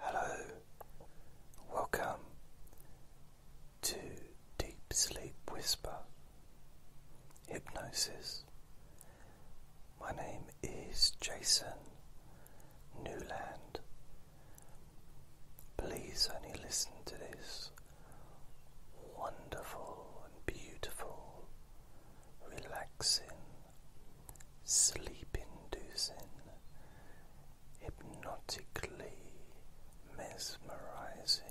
Hello, welcome to Deep Sleep Whisper Hypnosis. My name is Jason Newland. Please only listen to this wonderful and beautiful, relaxing sleep inducing, hypnotically mesmerizing,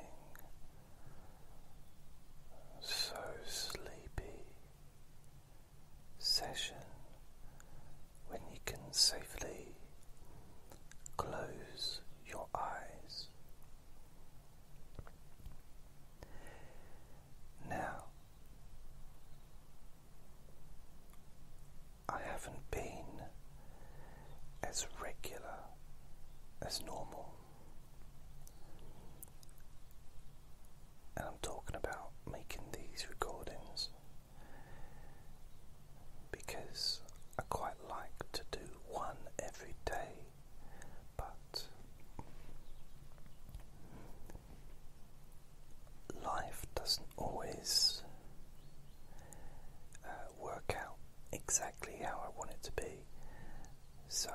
so sleepy session when you can safely close your eyes. Now, I haven't been as regular as normal. And I'm talking about making these recordings because I quite like to do one every day, but life doesn't always uh, work out exactly how I want it to be. So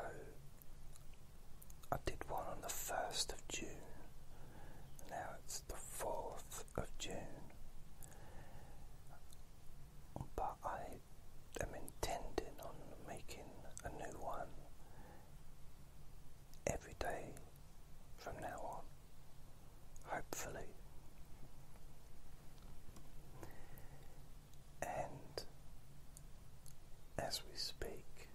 I did one on the 1st of June, now it's the 4th of June. But I am intending on making a new one every day from now on, hopefully. And as we speak,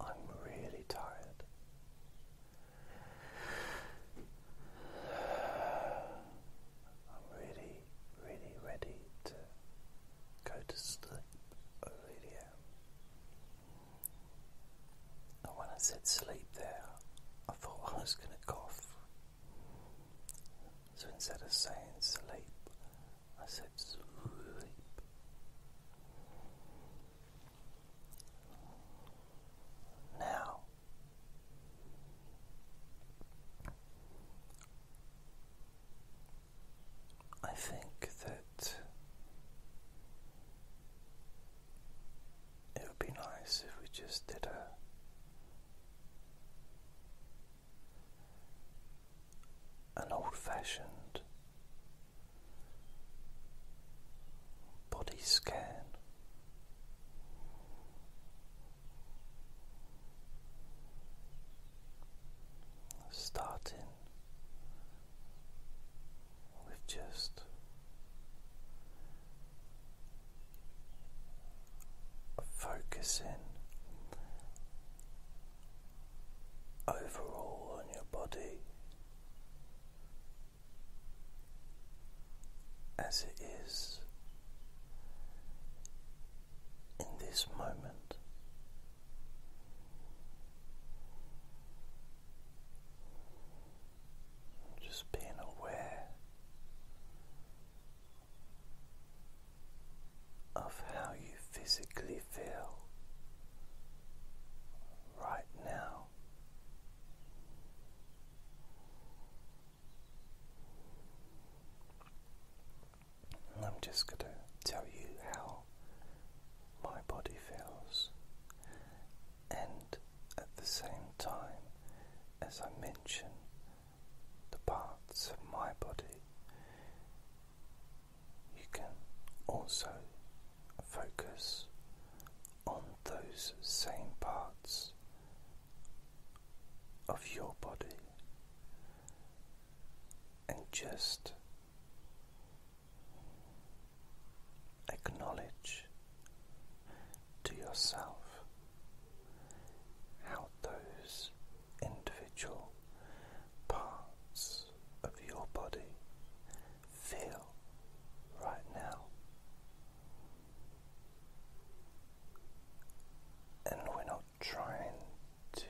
I'm really tired. I'm really really, ready to go to sleep. I when I said sleep there, I thought I was going to cough. So instead of saying sleep, I said sleep. Now, I think that it would be nice if we just did a an old fashioned body scan Starting with just focusing overall on your body as it is in this moment. Just being aware of how you physically feel right now. I'm just going to tell you how my body feels. And at the same time, as I mention the parts of my body, you can also focus on those same parts of your body and just acknowledge to yourself how those individual parts of your body feel right now. And we're not trying to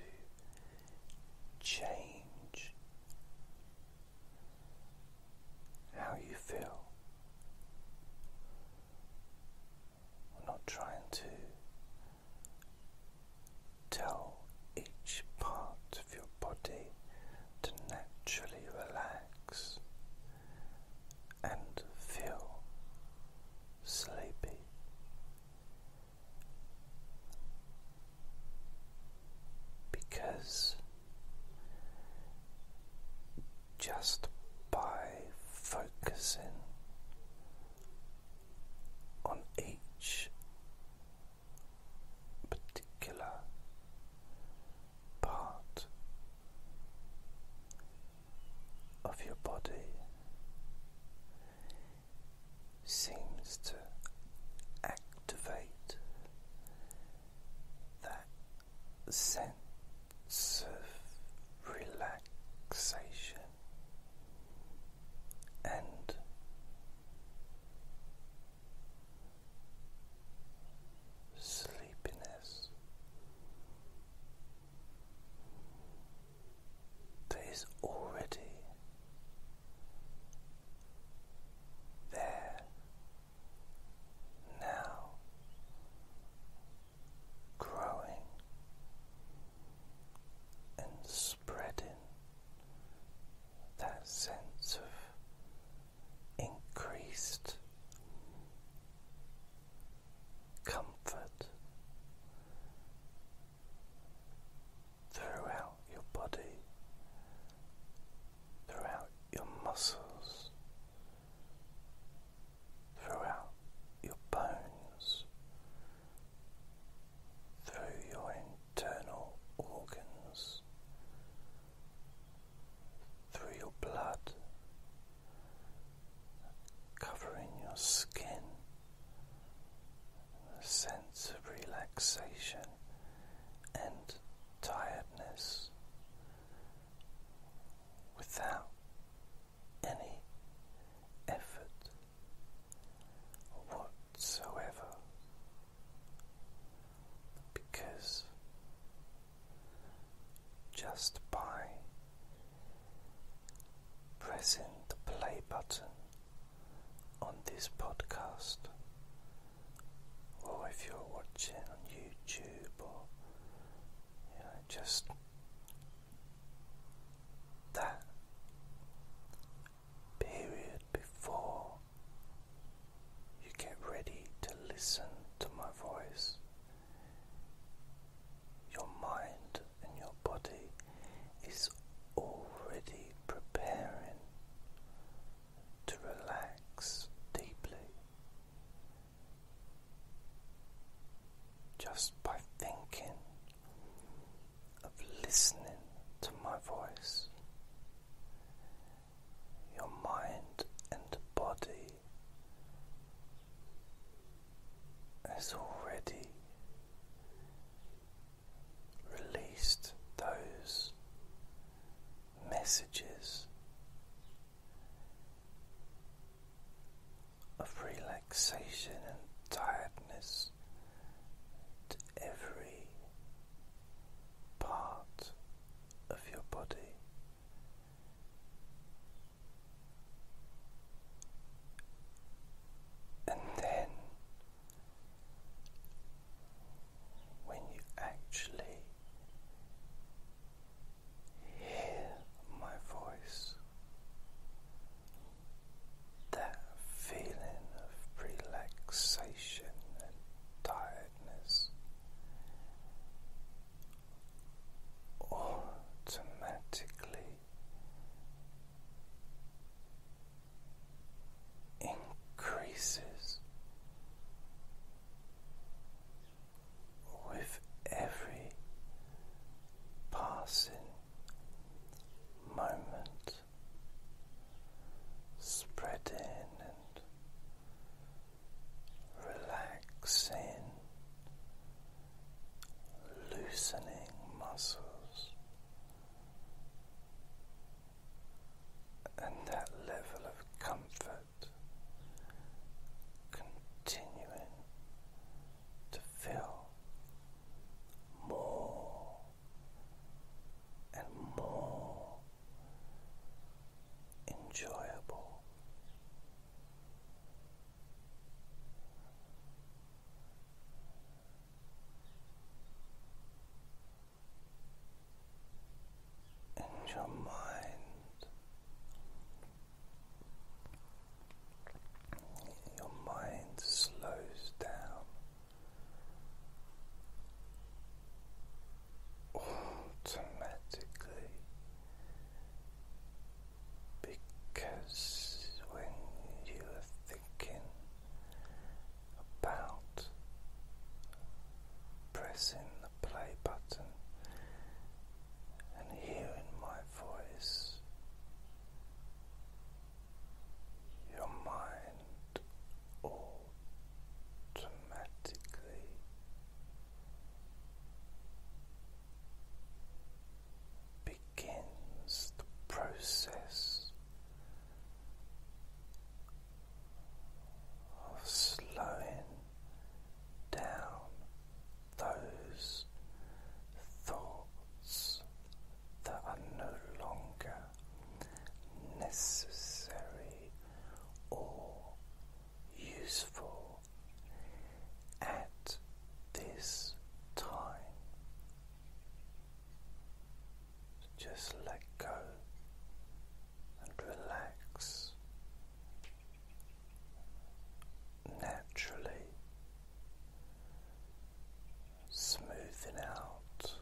change how you feel. not trying to tell each part of your body to naturally relax and feel sleepy. Because just by focusing on each particular part of your body, seems to activate that sense of relaxation and sleepiness that is already there now, growing and spreading that sense of increased comfort throughout your body, throughout your muscles, throughout your bones, through your internal organs, through your blood, covering your skin a sense of relaxation and tiredness without any effort whatsoever because just by pressing the play button on this podcast, or if you're watching on YouTube, or you know, just that period before you get ready to listen to my voice, your mind and your body is already preparing to relax deeply just by thinking of listening to my voice. Your mind and body is already released those messages of relaxation and tiredness to every part of your body. And then, when you actually hear my voice, that feeling of relaxation and tiredness automatically increases with every passing moment, spreading and relaxing, loosening muscles and that level of comfort continuing to feel more and more enjoyable and your mind. Your mind slows down automatically because when you are thinking about pressing the play button and hearing my voice, your mind automatically begins the process of slowing down those thoughts that are no longer necessary or useful at this time just let go and relax naturally, smoothing out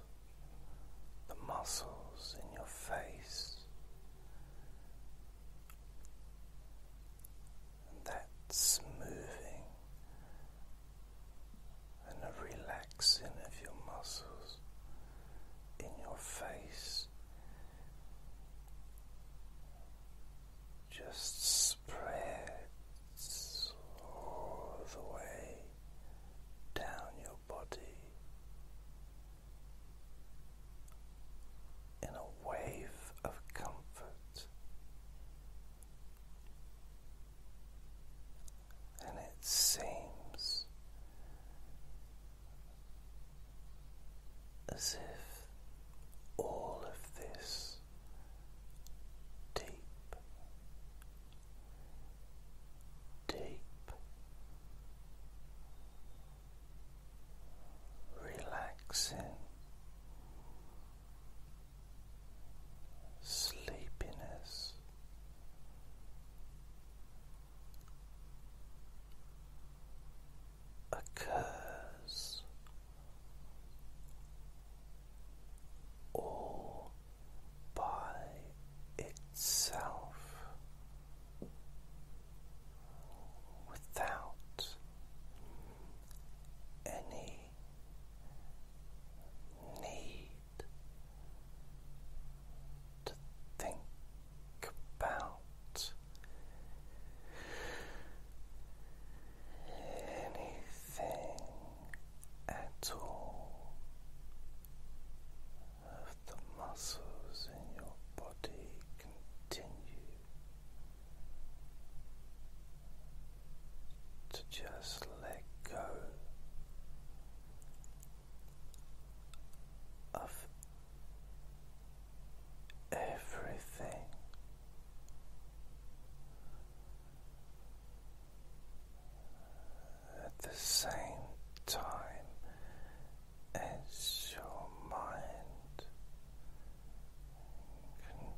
the muscles in your face and that smoothing and a relaxing of your muscles in your face just spread all the way down your body in a wave of comfort and it seems as if all of this deep, deep relaxing sleepiness. Occurs all by itself without any need to think about anything at all of the muscles in your body continue to just let go of everything. At the same time as your mind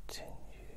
continues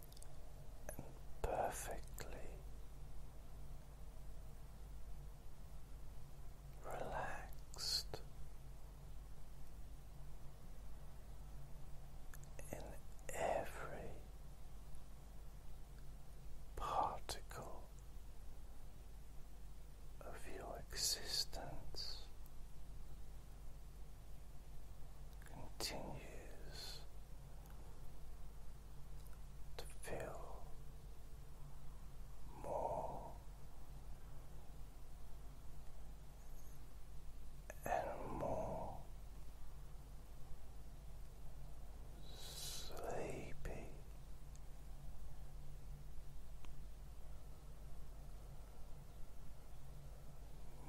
and perfectly relaxed in every particle of your existence continues to feel more and more sleepy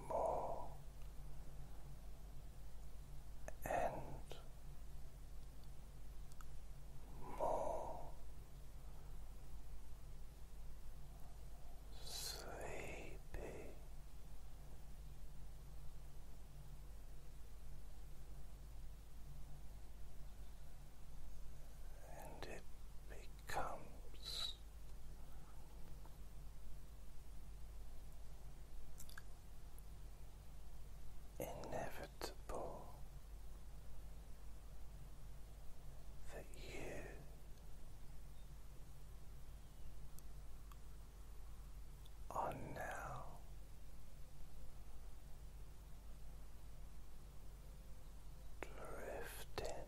more and more sleepy. And it becomes inevitable that you are now drifting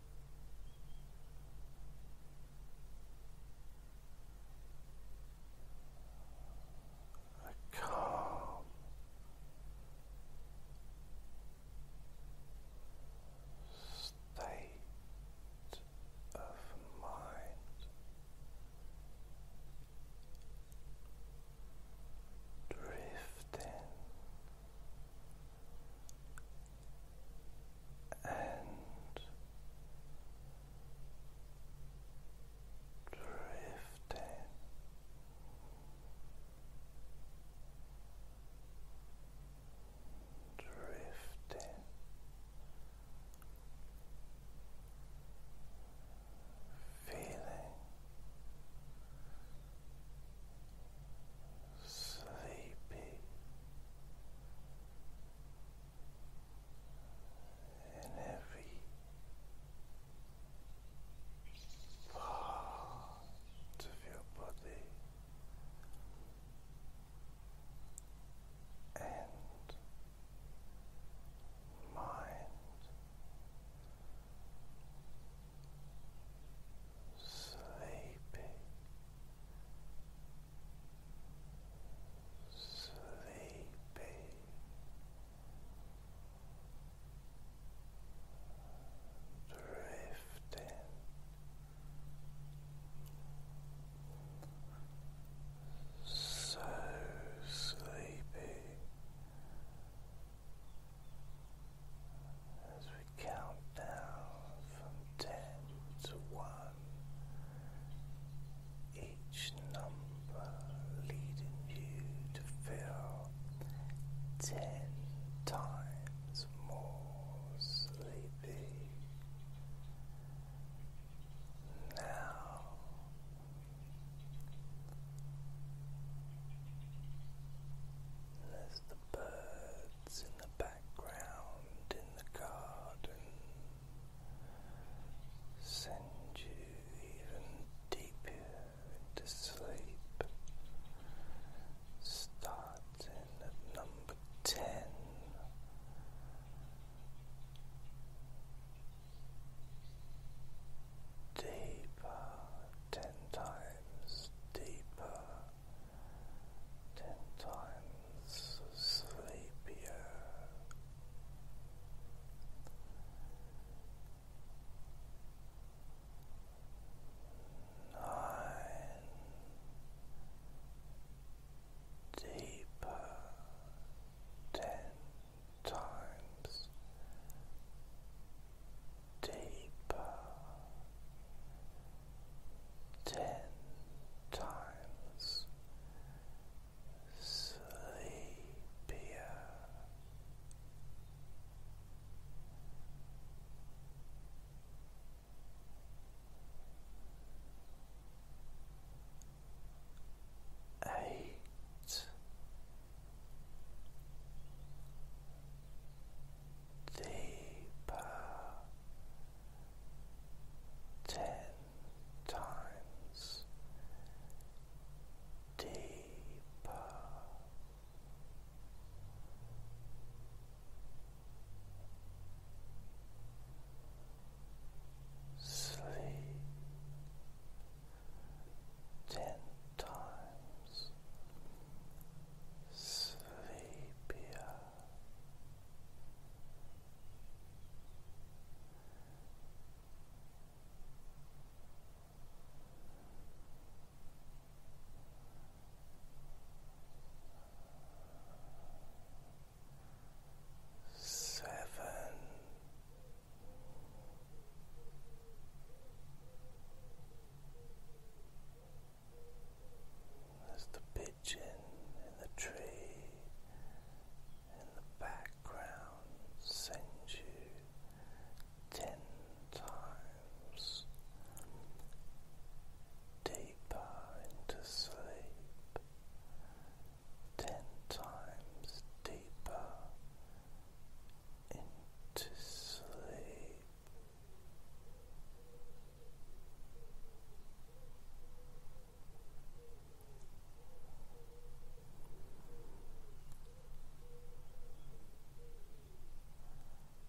a calm state of mind drifting and drifting. Drifting feeling sleepy in every part of your body and mind sleepy sleepy. Drifting so sleepy as we count down from ten to one each number leading you to feel ten times more sleepy. Now as the birds in the background background in the garden send you even deeper into sleep, starting at number ten. Deeper, ten times deeper, ten times sleepier. Nine deeper, ten times deeper ten times sleepier. Eight deeper ten times deeper. Sleep ten times sleepier Seven. That's the big in the tree in the background sends you ten times deeper into sleep, ten times deeper into sleep.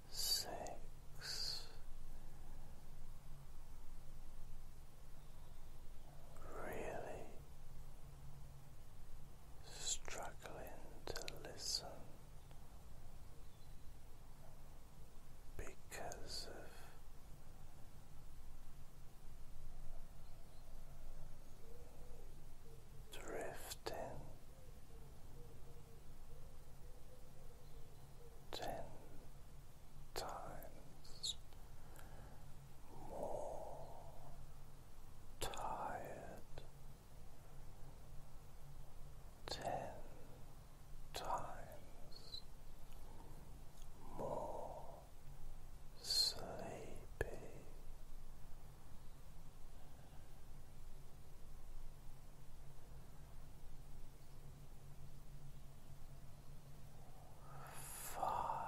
Six really struggling to listen because of drifting ten times more tired ten times more sleepy. Five.